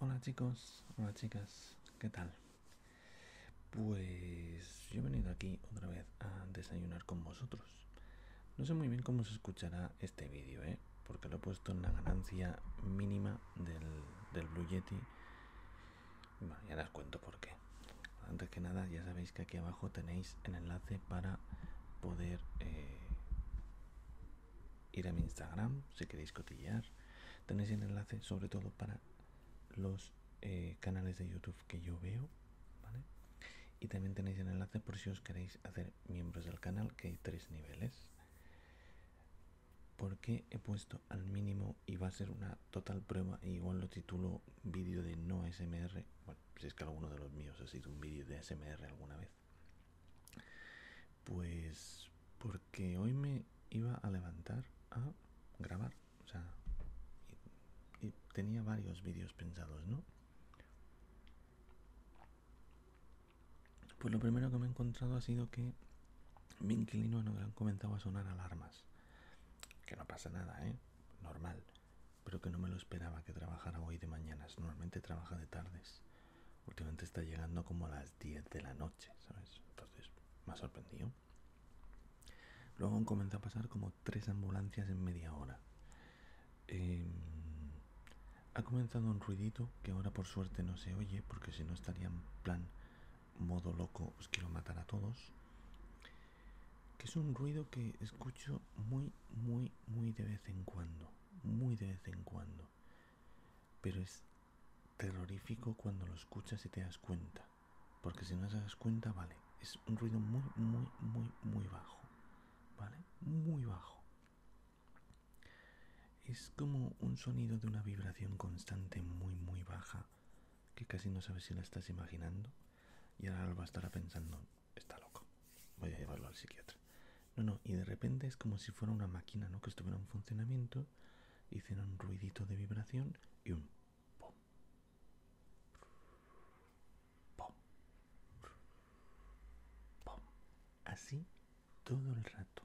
Hola chicos, hola chicas, ¿qué tal? Pues yo he venido aquí otra vez a desayunar con vosotros. No sé muy bien cómo se escuchará este vídeo, ¿eh? porque lo he puesto en la ganancia mínima del, Blue Yeti. Bueno, ya os cuento por qué. Antes que nada, ya sabéis que aquí abajo tenéis el enlace para poder eh, ir a mi Instagram si queréis cotillear. Tenéis el enlace sobre todo para los eh, canales de YouTube que yo veo, Y también tenéis el enlace por si os queréis hacer miembros del canal, que hay tres niveles. Porque he puesto al mínimo y va a ser una total prueba, e igual lo titulo vídeo de no SMR si es que alguno de los míos ha sido un vídeo de SMR alguna vez pues porque hoy me iba a levantar a grabar. O sea, tenía varios vídeos pensados, ¿no? Pues lo primero que me he encontrado ha sido que mi inquilino no le han comenzado a sonar alarmas. Que no pasa nada, ¿eh? Normal. Pero que no me lo esperaba que trabajara hoy de mañanas. Normalmente trabaja de tardes últimamente está llegando como a las 10 de la noche, ¿sabes? Entonces me ha sorprendido. Luego han comenzado a pasar como tres ambulancias en media hora. Em, ha comenzado un ruidito que ahora por suerte no se oye porque si no estaría en plan modo loco os quiero matar a todos. Que es un ruido que escucho muy, muy, muy de vez en cuando. Muy de vez en cuando. Pero es terrorífico cuando lo escuchas y te das cuenta. Porque si no te das cuenta, vale. Es un ruido muy, muy, muy, muy bajo. ¿Vale? Muy bajo. Es como un sonido de una vibración constante muy, muy baja. Que casi no sabes si la estás imaginando. Y ahora lo va a pensando, está loco. Voy a llevarlo al psiquiatra. No, no, y de repente es como si fuera una máquina, ¿no? Que estuviera en funcionamiento, hiciera un ruidito de vibración y un pom. Así todo el rato.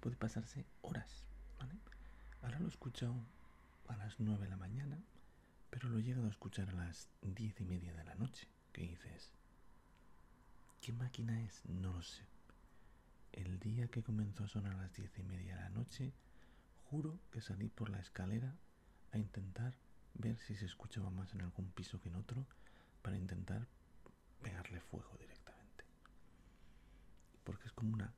Puede pasarse horas, Ahora lo he escuchado a las 9 de la mañana, pero lo he llegado a escuchar a las diez y media de la noche. ¿Qué dices, ¿qué máquina es? No lo sé. El día que comenzó a sonar a las diez y media de la noche, juro que salí por la escalera a intentar ver si se escuchaba más en algún piso que en otro para intentar pegarle fuego directamente. Porque es como una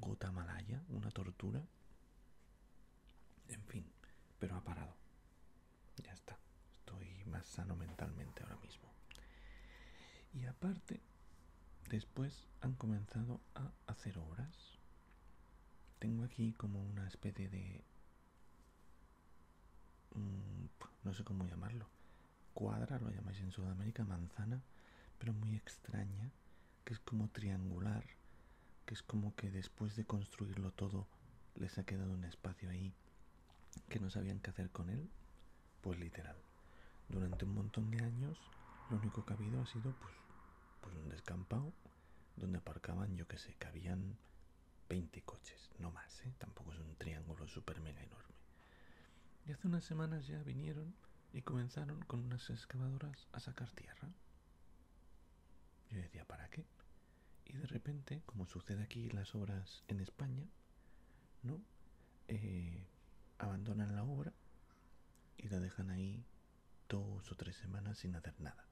gota malaya, una tortura. En fin, pero ha parado. Ya está. Estoy más sano mentalmente ahora mismo. Y aparte, después han comenzado a hacer obras. Tengo aquí como una especie de... Mm, no sé cómo llamarlo. Cuadra, lo llamáis en Sudamérica, manzana, pero muy extraña, que es como triangular, que es como que después de construirlo todo les ha quedado un espacio ahí que no sabían qué hacer con él, pues literal. Durante un montón de años lo único que ha habido ha sido pues, pues un descampado donde aparcaban, yo que sé, cabían 20 coches, no más, ¿eh? tampoco es un triángulo super mega enorme. Y hace unas semanas ya vinieron y comenzaron con unas excavadoras a sacar tierra. Yo decía, ¿para qué? y de repente, como sucede aquí en las obras en España, eh, abandonan la obra y la dejan ahí dos o tres semanas sin hacer nada.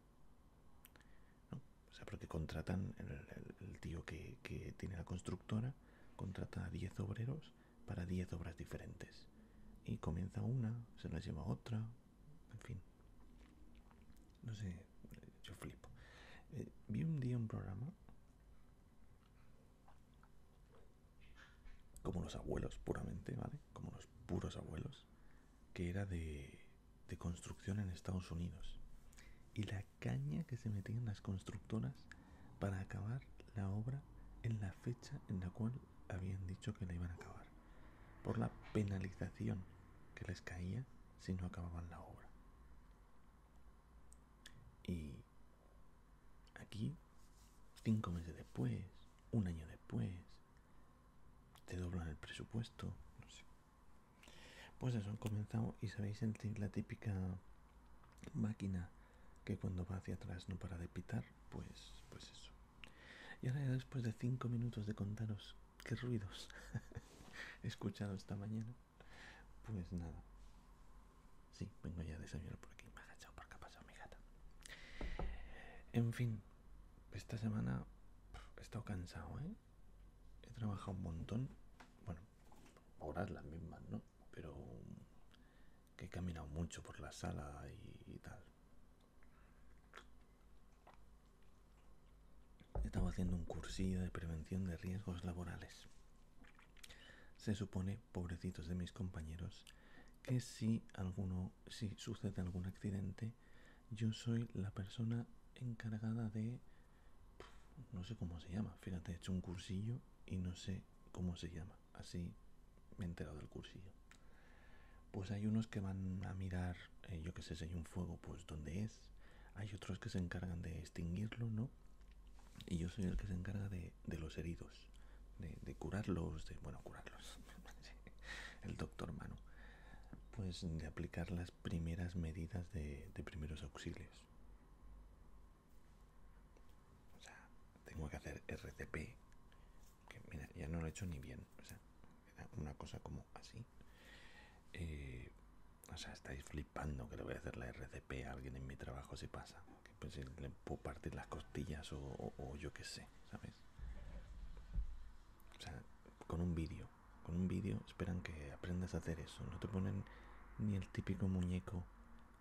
O sea, porque contratan, el, tío que, tiene la constructora contrata a 10 obreros para 10 obras diferentes. Y comienza una, se las lleva otra, en fin, no sé, yo flipo. Eh, vi un día un programa como los abuelos, puramente, ¿vale? Como los puros abuelos, que era de, de construcción en Estados Unidos. Y la caña que se metían las constructoras para acabar la obra en la fecha en la cual habían dicho que la iban a acabar. Por la penalización que les caía si no acababan la obra. Y aquí, cinco meses después, un año después, te doblan el presupuesto, Pues eso, han comenzado y sabéis sentir la típica máquina que cuando va hacia atrás no para de pitar, pues, pues eso. Y ahora después de cinco minutos de contaros qué ruidos he escuchado esta mañana. Pues nada. Sí, vengo ya a desayunar por aquí. Me ha agachado por ha pasado mi gata. En fin, esta semana he estado cansado, ¿eh? He trabajado un montón. Bueno, horas las mismas, ¿no? Pero que he caminado mucho por la sala y tal. Estaba haciendo un cursillo de prevención de riesgos laborales. Se supone, pobrecitos de mis compañeros, que si alguno, si sucede algún accidente, yo soy la persona encargada de no sé cómo se llama. Fíjate, he hecho un cursillo y no sé cómo se llama. Así me he enterado del cursillo. Pues hay unos que van a mirar, eh, yo que sé, si hay un fuego, pues dónde es. Hay otros que se encargan de extinguirlo, ¿no? Y yo soy el que se encarga de, los heridos, de, curarlos, de, bueno, curarlos, el doctor Manu, pues de aplicar las primeras medidas de, primeros auxilios. O sea, tengo que hacer RCP, que mira, ya no lo he hecho ni bien, o sea, una cosa como así. Eh, o sea, estáis flipando que le voy a hacer la RCP a alguien en mi trabajo si pasa. Que pues le puedo partir las costillas o, yo qué sé, ¿sabes? O sea, con un vídeo. Con un vídeo esperan que aprendas a hacer eso. No te ponen ni el típico muñeco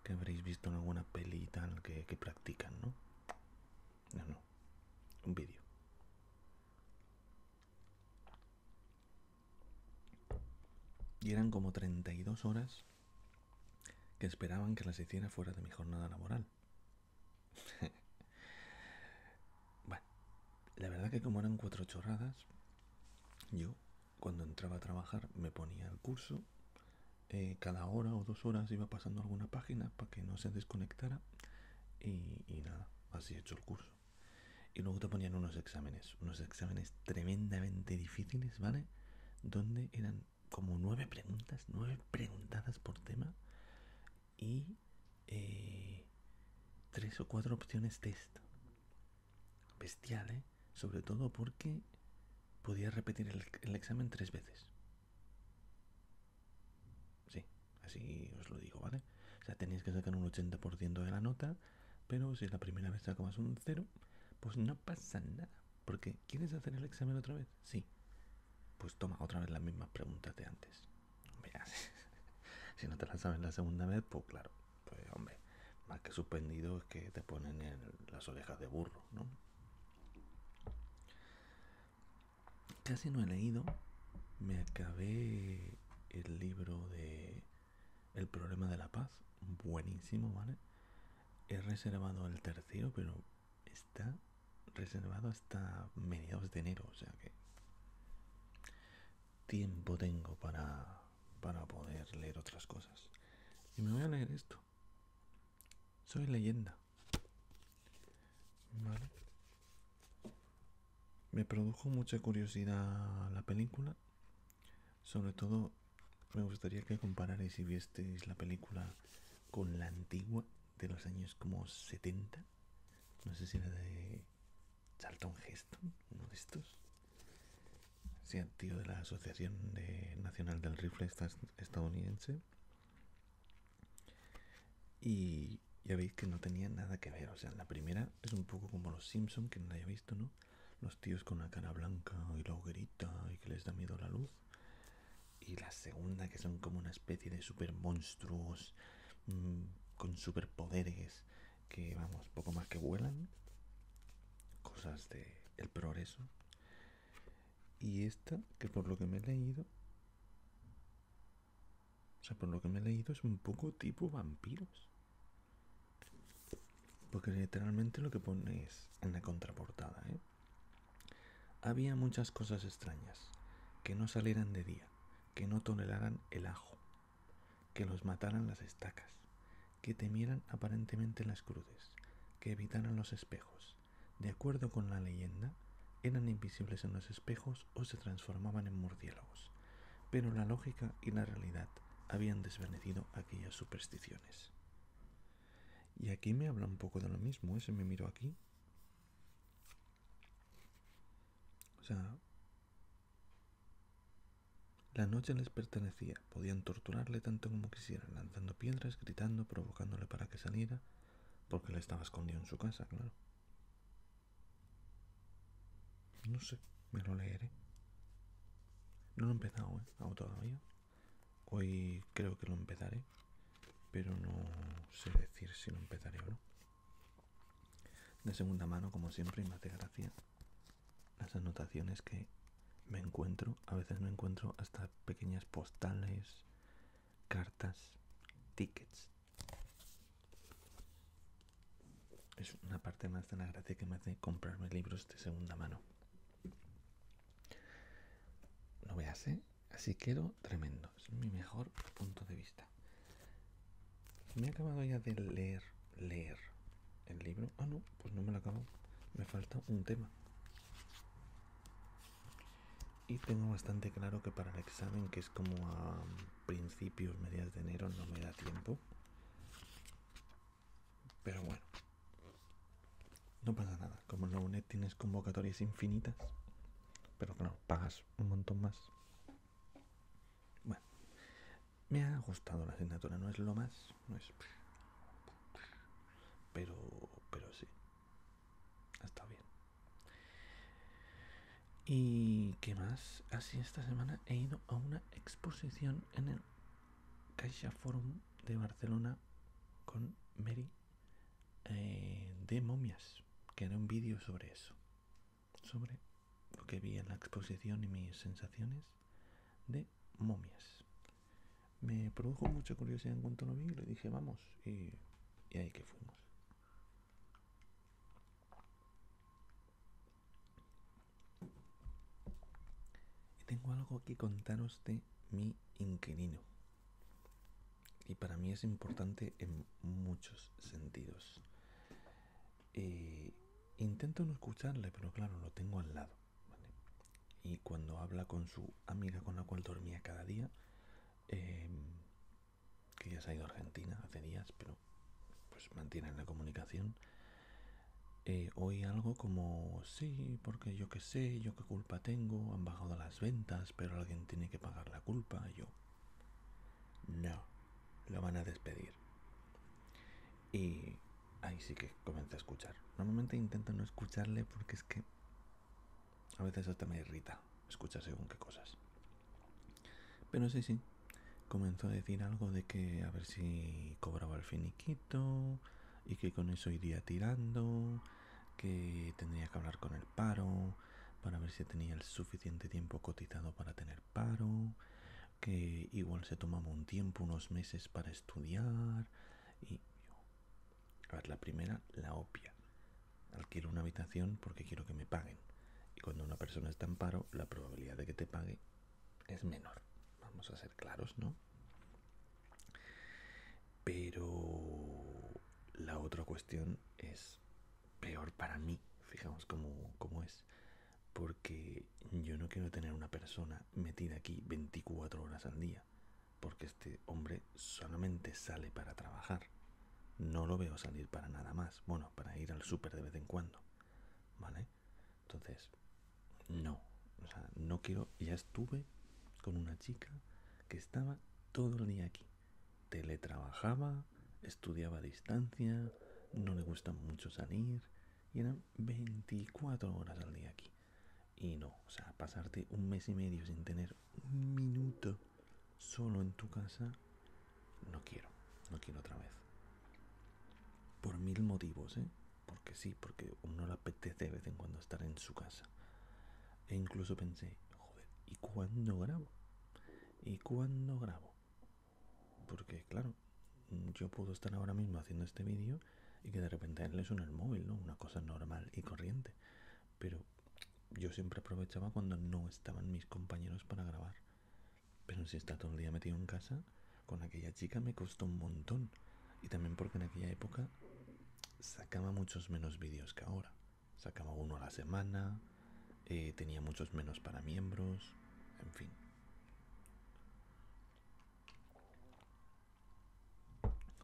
que habréis visto en alguna peli y tal que, practican, No, no. Un vídeo. Y eran como 32 horas que esperaban que las hiciera fuera de mi jornada laboral. bueno, la verdad que como eran cuatro chorradas, yo cuando entraba a trabajar me ponía el curso, eh, cada hora o dos horas iba pasando alguna página para que no se desconectara y, nada, así he hecho el curso. Y luego te ponían unos exámenes, unos exámenes tremendamente difíciles, ¿vale? Donde eran como nueve preguntas, nueve preguntadas por tema y eh, tres o cuatro opciones esto Bestial, ¿eh? Sobre todo porque podías repetir el examen tres veces. Sí, así os lo digo, ¿vale? O sea, tenéis que sacar un 80% de la nota, pero si es la primera vez sacas un 0, pues no pasa nada. Porque, ¿quieres hacer el examen otra vez? Sí. Pues toma otra vez las mismas preguntas de antes. si no te las sabes la segunda vez, pues claro, pues hombre, más que suspendido es que te ponen en las orejas de burro, ¿no? Casi no he leído. Me acabé el libro de El problema de la paz. Buenísimo, ¿vale? He reservado el tercero, pero está reservado hasta mediados de enero. O sea que tiempo tengo para, para poder leer otras cosas. Y me voy a leer esto. Soy leyenda. Me produjo mucha curiosidad la película. Sobre todo me gustaría que compararais si visteis la película con la antigua de los años como 70. No sé si era de Charlton Heston, uno de estos. Sea tío de la Asociación Nacional del Rifle Estadounidense. Y ya veis que no tenía nada que ver. O sea, la primera es un poco como los Simpson, que no la haya visto, ¿no? Los tíos con la cara blanca y la hoguerita y que les da miedo la luz. Y la segunda, que son como una especie de super monstruos mm, con superpoderes que, vamos, poco más que vuelan. Cosas de el progreso. Y esta, que por lo que me he leído. O sea, por lo que me he leído es un poco tipo vampiros. Porque literalmente lo que pone es en la contraportada, ¿eh? Había muchas cosas extrañas. Que no salieran de día. Que no toleraran el ajo. Que los mataran las estacas. Que temieran aparentemente las cruces. Que evitaran los espejos de acuerdo con la leyenda, eran invisibles en los espejos o se transformaban en murciélagos, pero la lógica y la realidad habían desvanecido aquellas supersticiones. Y aquí me habla un poco de lo mismo, ese ¿eh? me miró aquí. O sea, la noche les pertenecía, podían torturarle tanto como quisieran, lanzando piedras, gritando, provocándole para que saliera, porque le estaba escondido en su casa, claro. No sé, me lo leeré. No lo he empezado, ¿eh? todavía. Hoy creo que lo empezaré. Pero no sé decir si lo empezaré o no. De segunda mano, como siempre, y me hace gracia las anotaciones que me encuentro. A veces me encuentro hasta pequeñas postales cartas, tickets. Es una parte más de la gracia que me hace comprarme libros de segunda mano. No veas, ¿eh? Así quiero tremendo. Es mi mejor punto de vista. Me he acabado ya de leer, leer el libro. Ah, no, pues no me lo acabo. Me falta un tema. Y tengo bastante claro que para el examen, que es como a principios, medias de enero, no me da tiempo. Pero bueno, no pasa nada. Como en la UNED tienes convocatorias infinitas, pero claro, pagas un montón más. Bueno, me ha gustado la asignatura, no es lo más, no es. Pero, pero sí, Está bien. ¿Y qué más? Así esta semana he ido a una exposición en el Caixa de Barcelona con Mary eh, de momias, que haré un vídeo sobre eso. Sobre lo que vi en la exposición y mis sensaciones de momias me produjo mucha curiosidad en cuanto lo vi y le dije vamos y, ahí que fuimos y tengo algo que contaros de mi inquilino y para mí es importante en muchos sentidos eh, intento no escucharle pero claro lo tengo al lado y cuando habla con su amiga con la cual dormía cada día, em, que ya se ha ido a Argentina hace días, pero pues mantienen la comunicación, eh, Oye algo como, sí, porque yo qué sé, yo qué culpa tengo, han bajado las ventas, pero alguien tiene que pagar la culpa, yo. No, lo van a despedir. Y ahí sí que comienza a escuchar. Normalmente intento no escucharle porque es que a veces hasta me irrita escuchar según qué cosas. Pero sí, sí, comenzó a decir algo de que a ver si cobraba el finiquito y que con eso iría tirando, que tendría que hablar con el paro para ver si tenía el suficiente tiempo cotizado para tener paro, que igual se tomaba un tiempo, unos meses para estudiar y a la primera, la opia. Alquilo una habitación porque quiero que me paguen. Y cuando una persona está en paro, la probabilidad de que te pague es menor. Vamos a ser claros, ¿no? Pero la otra cuestión es peor para mí. Fijamos cómo es porque yo no quiero tener una persona metida aquí 24 horas al día porque este hombre solamente sale para trabajar. No lo veo salir para nada más. Bueno, para ir al súper de vez en cuando. ¿Vale? Entonces, no. O sea, no quiero... Ya estuve con una chica que estaba todo el día aquí. Teletrabajaba, estudiaba a distancia, no le gusta mucho salir. Y eran 24 horas al día aquí. Y no, o sea, pasarte un mes y medio sin tener un minuto solo en tu casa, no quiero, no quiero otra vez. Por mil motivos, ¿eh? Porque sí, porque uno le apetece de vez en cuando estar en su casa. E incluso pensé, joder, ¿y cuándo grabo? ¿Y cuándo grabo? Porque claro, yo puedo estar ahora mismo haciendo este vídeo y que de repente él le suena el móvil, Una cosa normal y corriente. Pero yo siempre aprovechaba cuando no estaban mis compañeros para grabar. Pero si está todo el día metido en casa, con aquella chica me costó un montón. Y también porque en aquella época sacaba muchos menos vídeos que ahora. Sacaba uno a la semana, eh, tenía muchos menos para miembros, en fin.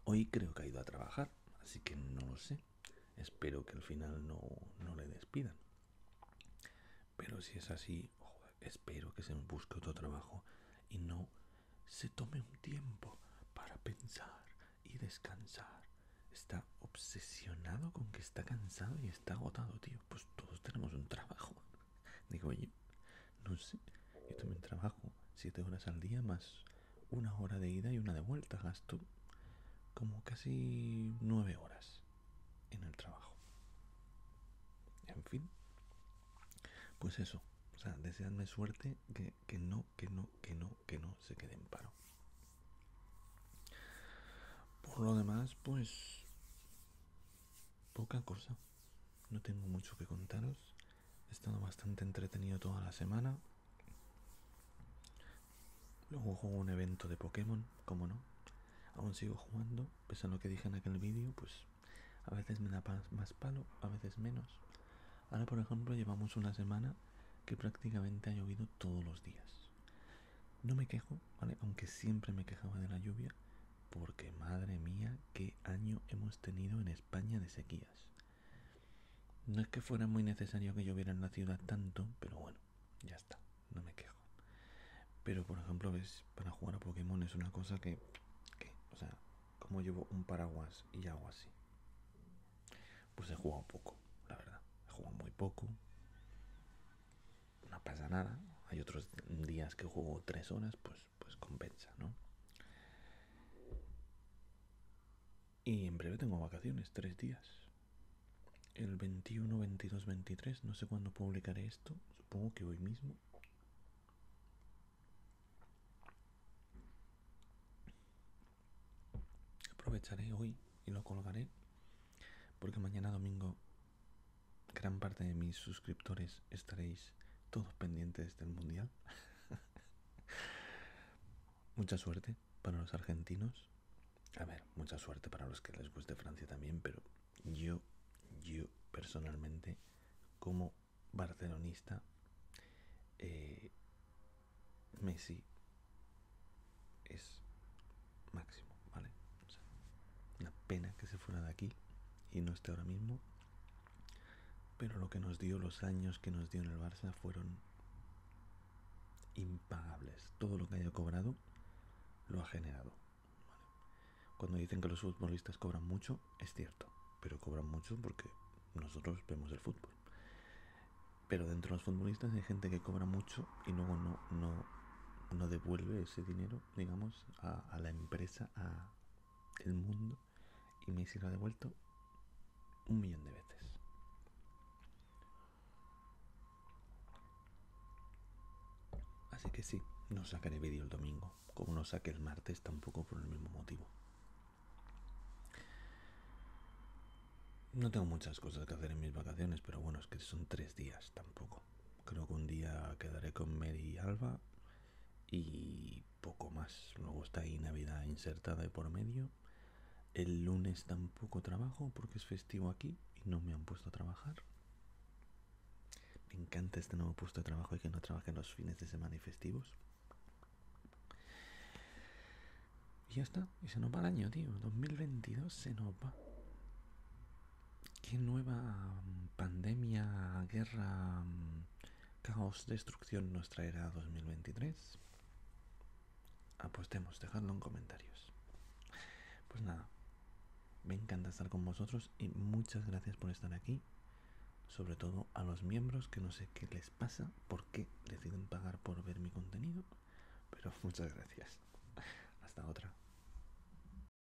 Hoy creo que ha ido a trabajar, así que no lo sé. Espero que al final no, le despidan. Pero si es así, espero que se busque otro trabajo y no se tome un tiempo para pensar y descansar. Está obsesionado con que está cansado y está agotado, tío. Pues todos tenemos un trabajo. Digo, oye, no sé, yo también trabajo siete horas al día más una hora de ida y una de vuelta, gasto como casi nueve horas en el trabajo. En fin, pues eso, o sea, deseadme suerte que, que no, que no, que no, que no se quede en paro. Por lo demás, pues poca cosa no tengo mucho que contaros. He estado bastante entretenido toda la semana. Luego juego un evento de Pokémon, como no. Aún sigo jugando, pese a lo que dije en aquel vídeo, pues a veces me da más palo, a veces menos. Ahora, por ejemplo, llevamos una semana que prácticamente ha llovido todos los días. No me quejo, Aunque siempre me quejaba de la lluvia, porque madre mía, qué año hemos tenido en España de sequías. No es que fuera muy necesario que lloviera en la ciudad tanto, pero bueno, ya está, no me quejo. Pero por ejemplo, ves, para jugar a Pokémon es una cosa que, o sea, como llevo un paraguas y hago así. Pues he jugado poco, la verdad. He jugado muy poco. No pasa nada. Hay otros días que juego tres horas, pues pues, compensa, ¿no? Y en breve tengo vacaciones, tres días. El 21, 22, 23, no sé cuándo publicaré esto, supongo que hoy mismo. Aprovecharé hoy y lo colgaré porque mañana domingo gran parte de mis suscriptores estaréis todos pendientes del Mundial. mucha suerte para los argentinos. A ver, mucha suerte para los que les guste Francia también, pero yo, yo personalmente, como barcelonista, eh, Messi es máximo, ¿vale? una pena que se fuera de aquí y no esté ahora mismo pero lo que nos dio, los años que nos dio en el Barça fueron impagables. Todo lo que haya cobrado lo ha generado. Cuando dicen que los futbolistas cobran mucho, es cierto, pero cobran mucho porque nosotros vemos el fútbol. Pero dentro de los futbolistas hay gente que cobra mucho y luego no, no, devuelve ese dinero, digamos, a, a la empresa, a, el mundo y me lo ha devuelto un millón de veces. Así que sí, no sacaré vídeo el domingo, como no saque el martes tampoco por el mismo motivo. No tengo muchas cosas que hacer en mis vacaciones, pero bueno, es que son tres días tampoco. Creo que un día quedaré con Mary y Alba y poco más. Luego está ahí Navidad insertada de por medio. El lunes tampoco trabajo porque es festivo aquí y no me han puesto a trabajar. Me encanta este nuevo puesto de trabajo y que no trabajen los fines de semana y festivos. Y ya está, y se nos va el año, tío. 2022 se nos va. ¿Qué nueva mm, pandemia, guerra, mm, caos, destrucción nos traerá 2023? Apostemos, dejadlo en comentarios. Pues nada, me encanta estar con vosotros y muchas gracias por estar aquí. Sobre todo a los miembros que no sé qué les pasa, por qué deciden pagar por ver mi contenido. Pero muchas gracias. Hasta otra.